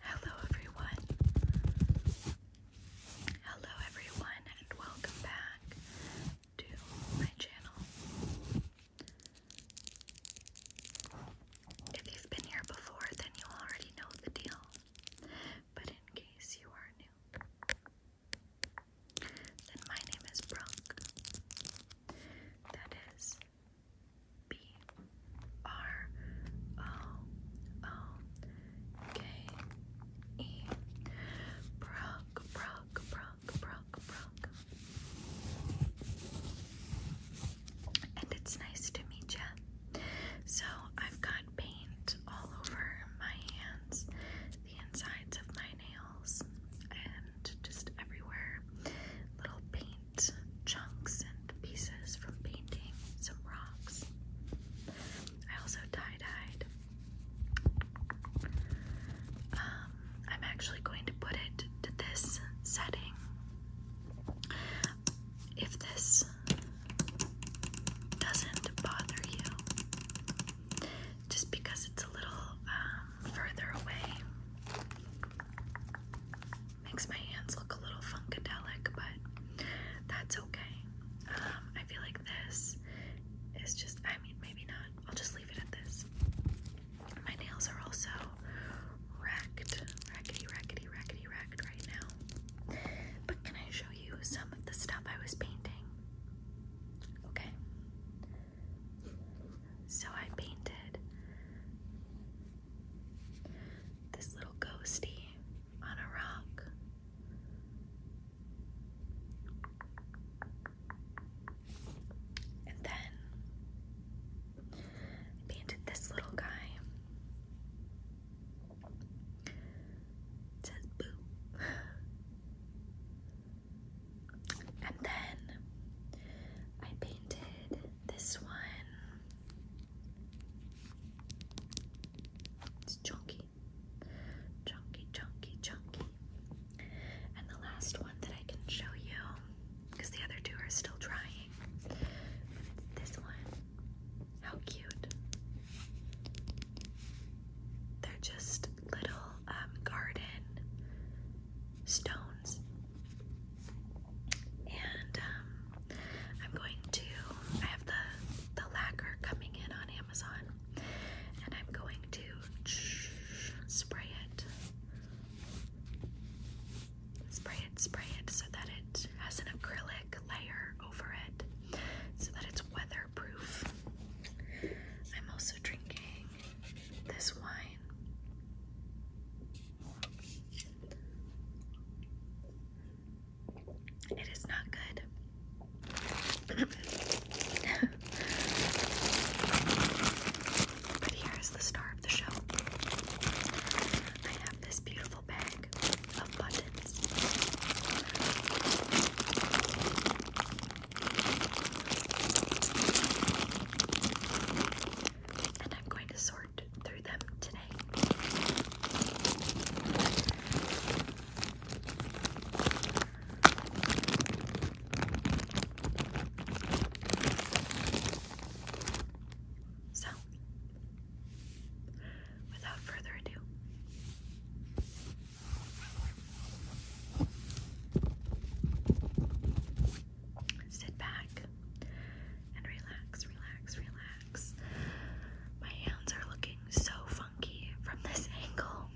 Hello, everyone. Hello, everyone, and welcome back to my channel. If you've been here before, then you already know the deal. But in case you are new, then my name is Brooke. That is B R O O K E Brock, Brock, Brock, Brock, And it's nice to meet you. So I've got paint all over my hands, the insides of my nails, and just everywhere. Little paint chunks and pieces from painting, some rocks. I also tie-dyed. Um, I'm actually going to put it to this setting. If this doesn't bother you, just because it's a little um, further away, Makes my hands look a little funkadelic, but that's okay. Um, I feel like this is just, I mean, maybe not. I'll just leave it at this. My nails are also wrecked, rackety, rackety, rackety, wrecked right now. But can I show you some of the stuff I was painting? Okay. So I painted this little ghosty on a rock. And then painted this little guy. says boo. And then I painted this one. It's chunky, chunky, chunky, chunky. And the last one that I can show you, because the other two are still drying, it's this one. How cute. They're just little um, garden stones. And um, I'm going to, I have the, the lacquer coming in on Amazon, and I'm going to spray it. Spray it, spray it so that it has an acrylic layer over it so that it's weatherproof. I'm also drinking this wine it is not good. but here is the star of the show. I have this beautiful bag of buttons. And I'm going to sort through them today. So, without further ado, Sit back and relax, relax, relax. My hands are looking so funky from this angle.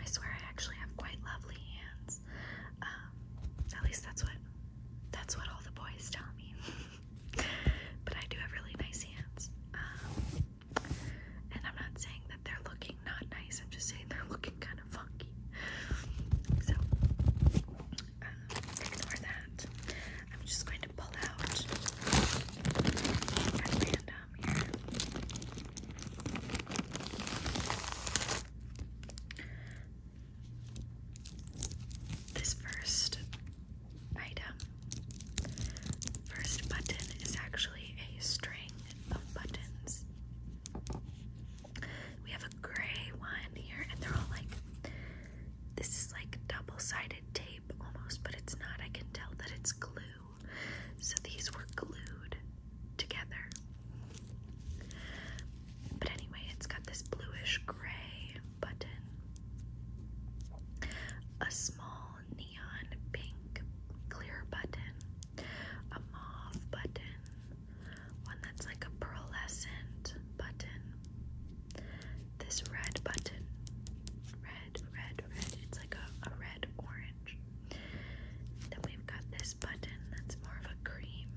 I swear I actually have quite lovely hands. Um, at least that's what that's what all the boys tell me. but I do have really nice hands. Um, and I'm not saying that they're looking not nice. I'm just saying they're looking kind of funky. So, ignore um, that. I'm just going to pull out at random here. This first item, first button is actually a string buttons. We have a gray one here, and they're all like this is like double sided tape almost, but it's not. I can tell that it's glue. So these were glued together. But anyway, it's got this bluish gray button, a small neon pink clear button, a mauve button, one that's like a pearlescent button, this red button, red, red, red, it's like a, a red orange. Then we've got this button that's more of a cream.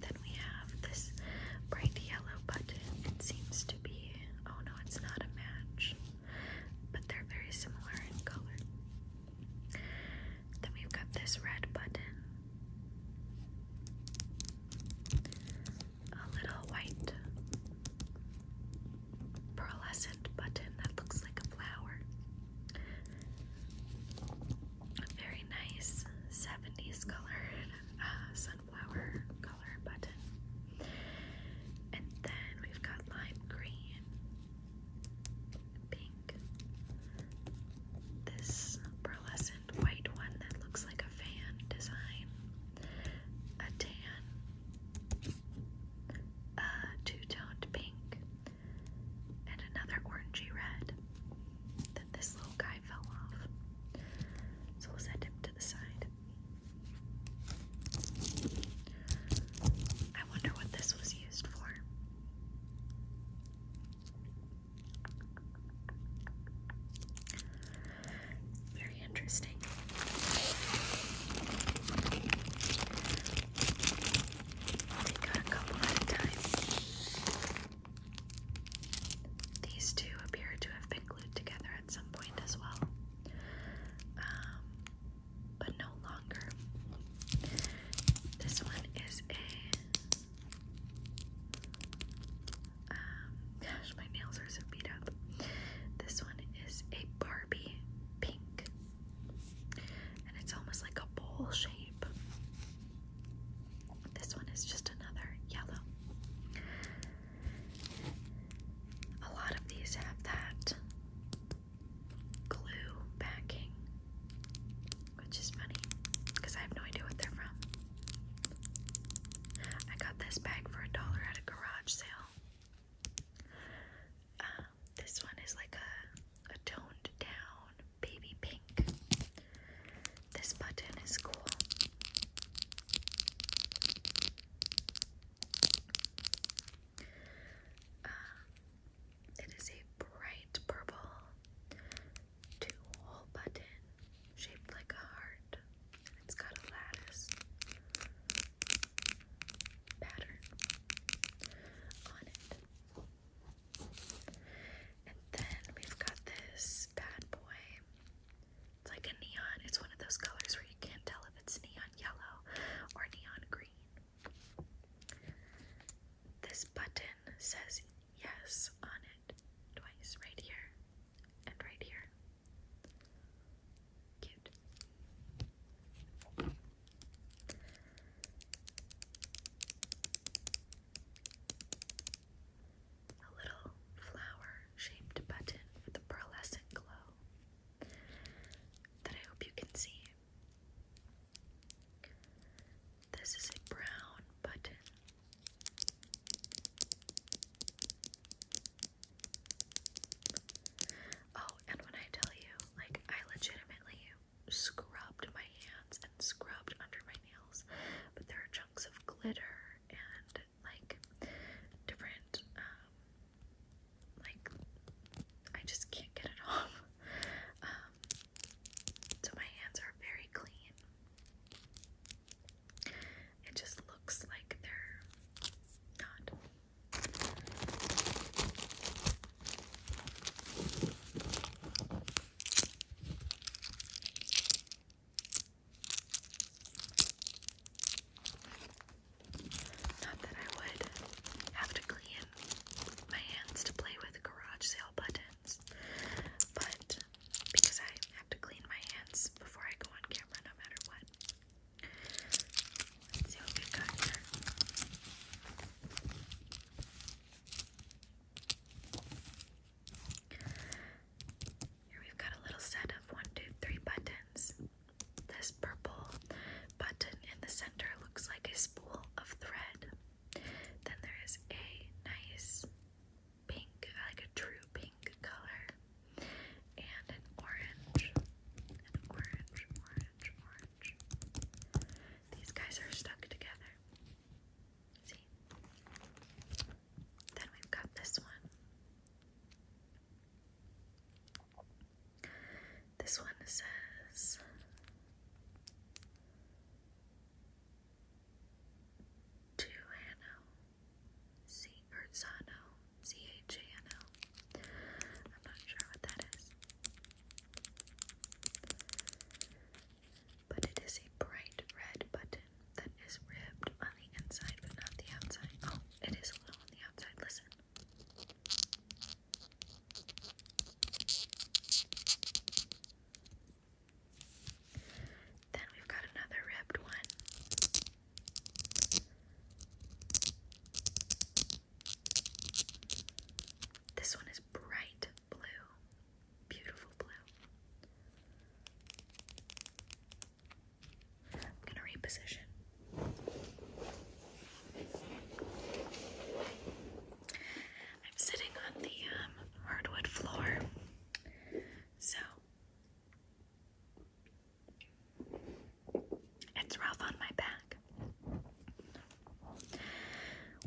Then we have this bright yellow button. It seems to be, oh no, it's not a match but they're very similar in color. Then we've got this red button, a little white pearlescent button that looks like a flower. very nice 70s color, uh, sunflower color button. And then we've got lime green, pink, this pearlescent white one that looks like a fan design, a tan, a two-toned pink, and another orangey red. Then this little guy fell off. So we'll set him to the side. I wonder what this was used for. Very interesting. Take out a couple at a time. These two appear to have been glued together at some point as well, um, but no longer. This one is a. Um, gosh, my nails are so beat up. This one is a Barbie pink, and it's almost like a bowl shape. This one is just another yellow. A lot of these have that glue backing, which is funny because I have no idea what they're from. I got this bag for a dollar at a garage sale. Um, this one is like a toned down baby pink. This button is cool. Uh, it is a bright purple two-hole button shaped like a heart. it's got a lattice pattern on it. And then we've got this bad boy. It's like a neon. It's one of those colors where you can't tell if it's neon yellow or neon green. This button says yes on it twice, right here and right here. Cute. A little flower shaped button with a pearlescent glow that I hope you can see. This is a brown button. Oh, and when I tell you, like, I legitimately scrubbed my hands and scrubbed under my nails, but there are chunks of glitter and like different um like I just can't get it off. Um so my hands are very clean. It just looks like they're not. Not that I would have to clean my hands to play with garage sale buttons, but because I have to clean my hands before I go on camera no matter what. Let's see what we got here. Here we've got a little set of one, two, three buttons. This purple button in the center looks like a spool of thread. Then there is a nice pink, like a true pink color, and an orange. An orange, orange, orange. These guys are stuck together. See? Then we've got this one. This one says to C H A N O. I'm not sure what that is. But it is a bright red button that is ribbed on the inside but not the outside. Oh, it is a little on the outside. Listen. Then we've got another ribbed one. This one is bright blue, beautiful blue. I'm gonna reposition. I'm sitting on the um, hardwood floor, so it's rough on my back.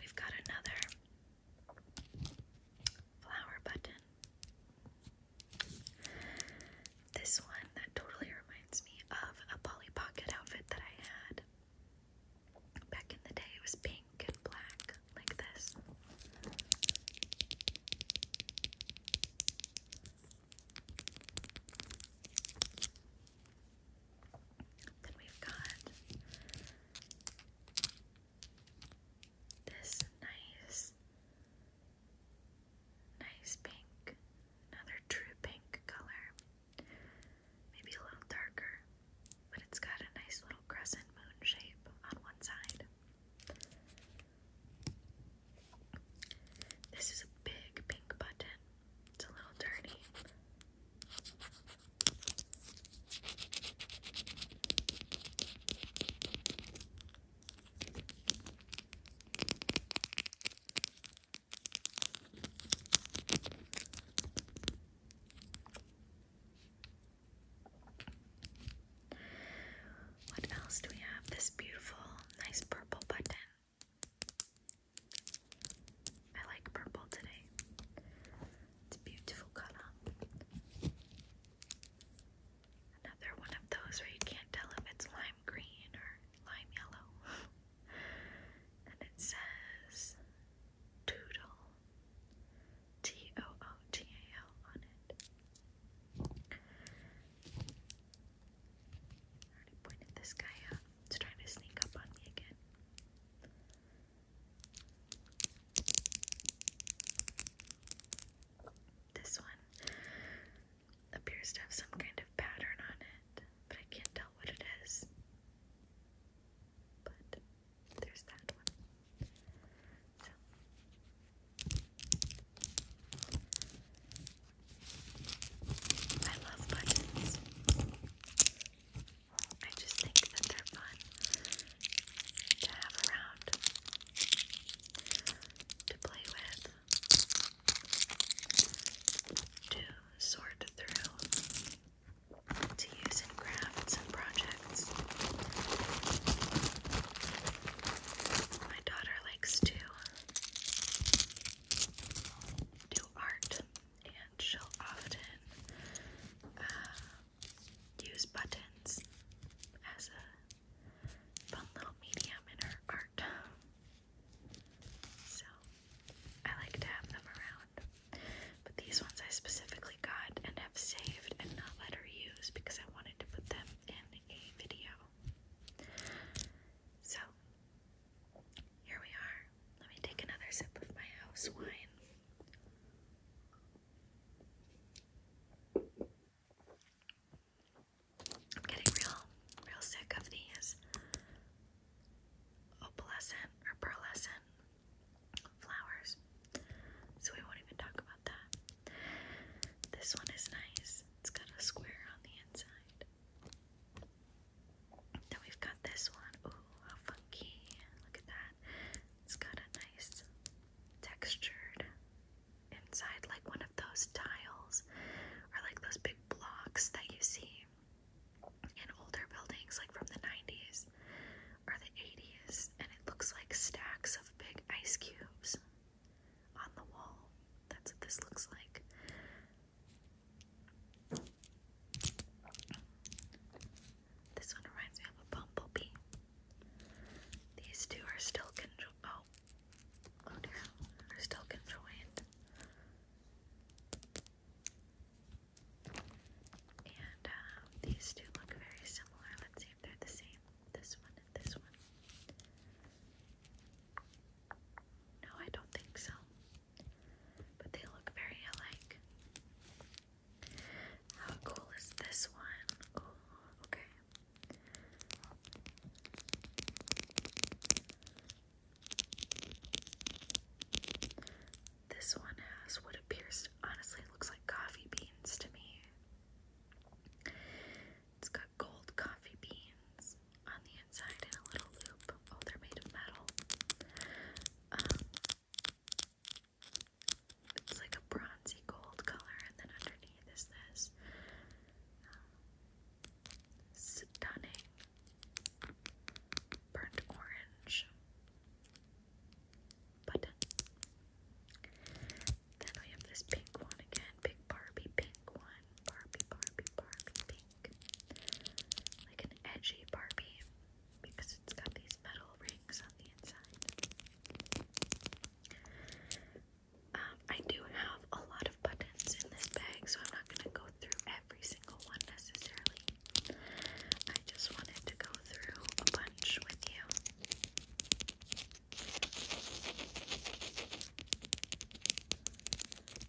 We've got another flower button. This one that totally reminds me of a Polly Pocket outfit that I had back in the day. It was pink and black, like this. Then we've got this nice Nice pink. Another true pink color. Maybe a little darker, but it's got a nice little crescent moon shape on one side. This is a big pink button. It's a little dirty. What else do we have? This beautiful, nice purple button. I like purple today. It's a beautiful color. Another one of those where you can't tell if it's lime green or lime yellow. and it says Toodle, T O O T A L on it. already pointed this guy out. He's trying to sneak up on me again. This one appears to have some kind of pattern on it, but I can't tell what it is. But there's that one. I love buttons. I just think that they're fun to have around to play with, to sort through, to use in crafts and projects. My daughter likes to do art, and she'll often uh, use buttons as a fun little medium in her art. So I like to have them around. But these ones I specifically got and have saved and not let her use because I wanted to put them in a video. So here we are. Let me take another sip of my house wine. I'm getting real, real sick of these opalescent or pearlescent flowers, so we won't even talk about that. This one is nice, it's got a square on the inside. Then we've got this one. Ooh, how funky! Look at that. It's got a nice textured inside, like one of those tiles or like those big blocks that you see in older buildings, like from the 90s or the 80s, and it looks like stacks of big ice cubes on the wall. That's what this looks like. This one reminds me of a bumblebee. These two are still conjoined. Oh, oh dear, are still conjoined. And um, these two look very similar. Let's see if they're the same. This one and this one. No, I don't think so. But they look very alike. How cool is this one? Oh, okay. This one has what appears, honestly, looks like coffee beans to me. It's got gold coffee beans on the inside in a little loop. Oh, they're made of metal. Um, it's like a bronzy gold color, and then underneath is this um, stunning burnt orange button. Then we have this pink one again, big Barbie pink one, Barbie, Barbie, Barbie pink, like an edgy Barbie because it's got these metal rings. Um, I do have a lot of buttons in this bag, so I'm not going to go through every single one necessarily. I just wanted to go through a bunch with you.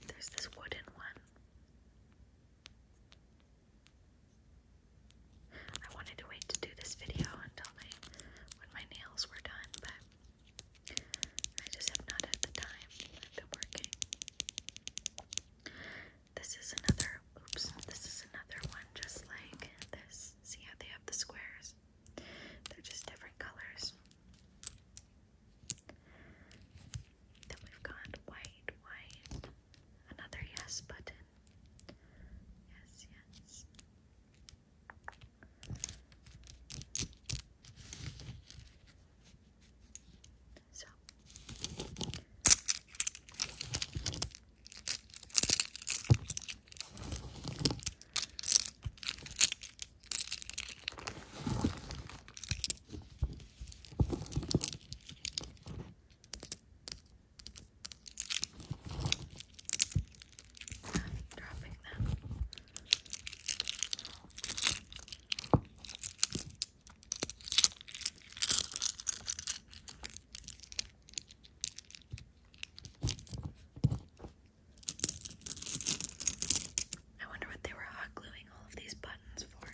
There's this wooden one. I wanted to wait to do this video until my when my nails were done, but I just have not had the time. I've been working. This is another oops, this is another one just like this. See how they have the squares? They're just different colors. Then we've got white, white, Another yes button. Yes, yes. So I'm dropping them. wonder what they were hot gluing all of these buttons for.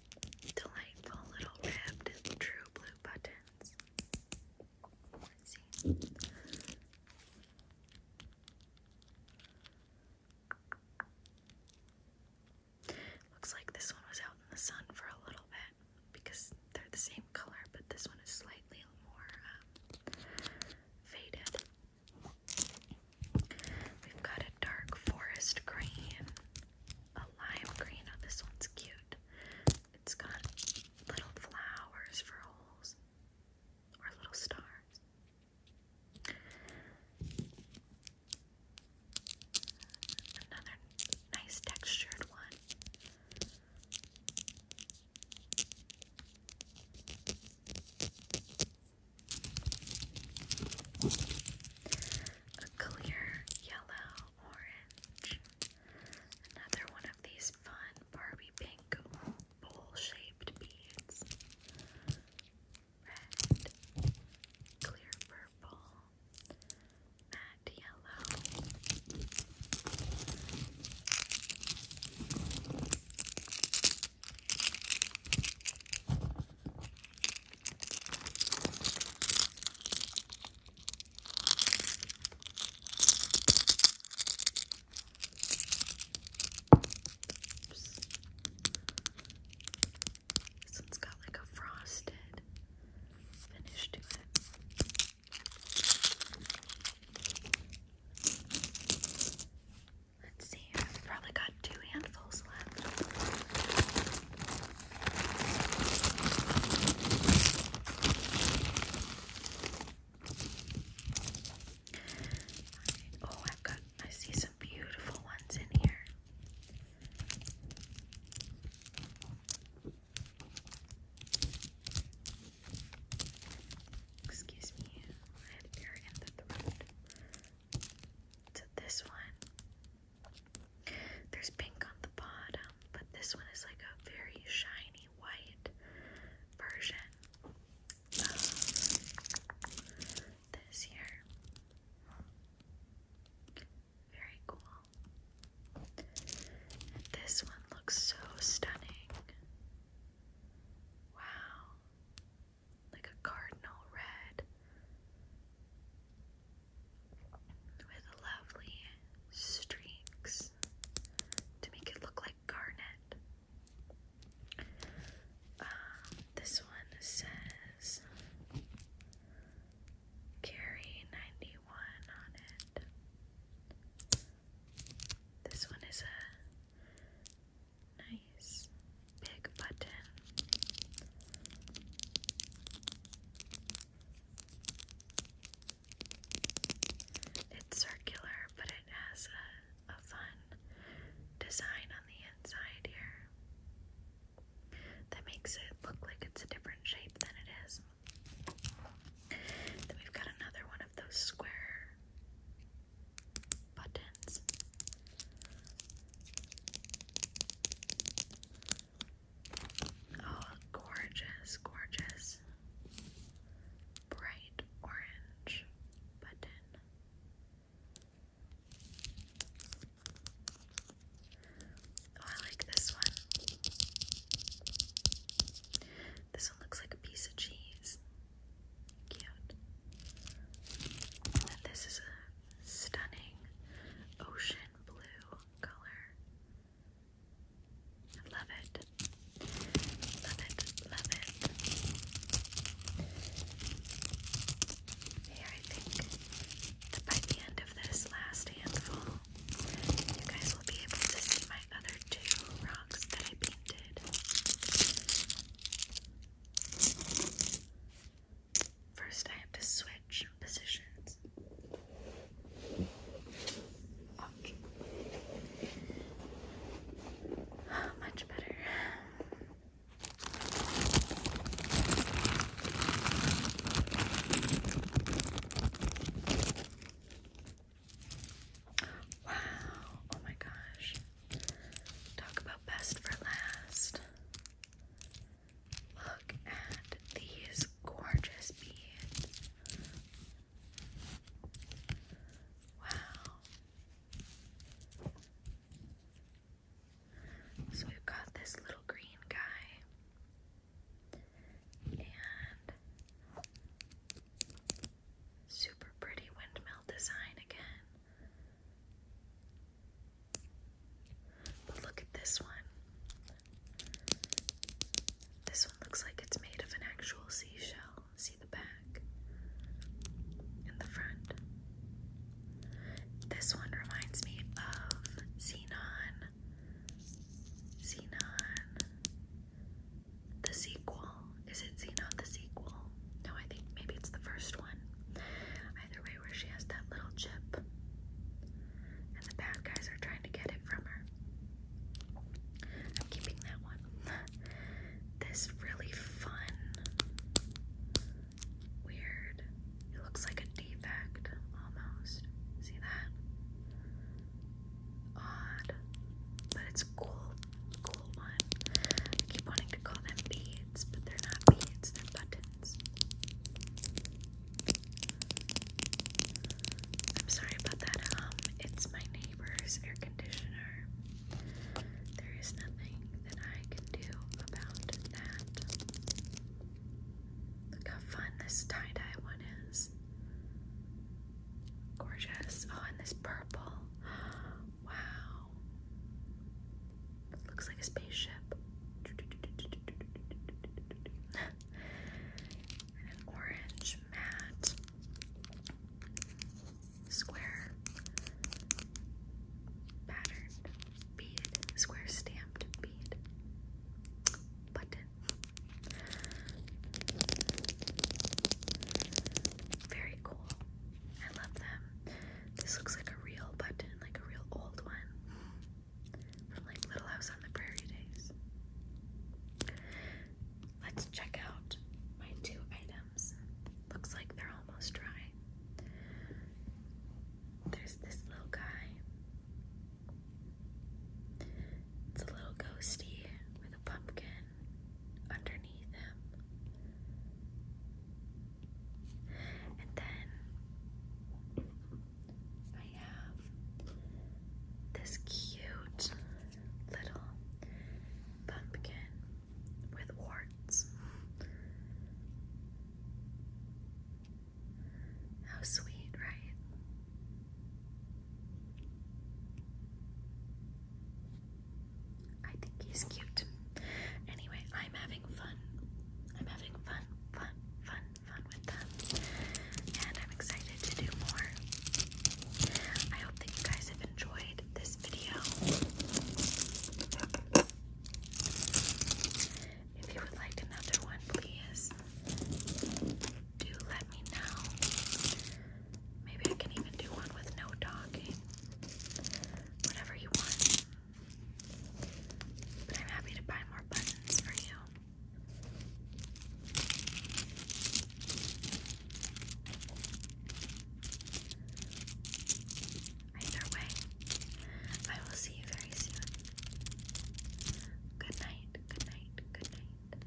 delightful little ribbed true blue buttons. Looks like this one was out in the sun for a little bit because they're the same color, but this one is slightly more um, faded. We've got a dark forest green, a lime green. Oh, this one's cute. It's got little flowers for holes or little stars. Another nice textured one a clear yellow orange, another one of these fun Barbie pink bowl shaped beads, red, clear purple, matte yellow. Oops. This one's got like a frosted finish to it. Let's see, I've probably got two handfuls left. Oh, I've got, I see some beautiful ones in here. Excuse me, I have air in the throat this one, there's pink on the bottom, but this one is like a very shiny white version um, this here. Very cool. this one looks so stunning. Wow like a cardinal red with lovely streaks to make it look like garnet. Uh, this one says Carry 91 on it. This one is a nice big button. It's circular, but it has a, a fun design on the inside here that makes it look like it's a different shape than it is. Then we've got another one of those square buttons. Oh, gorgeous, gorgeous. Bright orange button. Oh, I like this one. This one looks like a piece of cheese. Cute. this is a stunning ocean blue color. I love it. Love it. Love it. Here, I think by the end of this last handful, you guys will be able to see my other two rocks that I painted. First, I have to switch positions. much better. Wow, oh my gosh. Talk about best for last. Look at these gorgeous beads. Wow. So we've got this little green guy. And super pretty windmill design again. But look at this one. This one looks like it's made of an actual seashell. See the back and the front. This one reminds me of Xenon. Xenon. The sequel is it Zeno the sequel? No, I think maybe it's the first one. Either way, where she has that little chip, and the bad guys are trying to get it from her. I'm keeping that one. this really fun, weird. It looks like a defect almost. See that? Odd, but it's cool cool one. keep wanting to call them beads, but they're not beads, they're buttons. I'm sorry about that. Um, it's my neighbor's air conditioner. There is nothing that I can do about that. Look how fun this tie-dye one is. Gorgeous. Oh, and this purple. Wow. Looks like a spaceship. an orange matte square patterned bead, square stamped bead button. Very cool. I love them. This looks like a real button, like a real old one from like Little House on the Prairie days. Let's check out my two items. Looks like they're almost dry. There's this little guy. It's a little ghosty with a pumpkin underneath him. And then I have this cute little pumpkin with warts. How sweet, right? I think he's cute. Anyway, I'm having fun. I'm having fun, fun, fun, fun with them. And I'm excited to do more. I hope that you guys have enjoyed this video. If you would like another one, please do let me know. Maybe I can even do one with no talking. Whatever you want. But I'm happy to buy more buttons for you. Either way, I will see you very soon. Good night, good night, good night.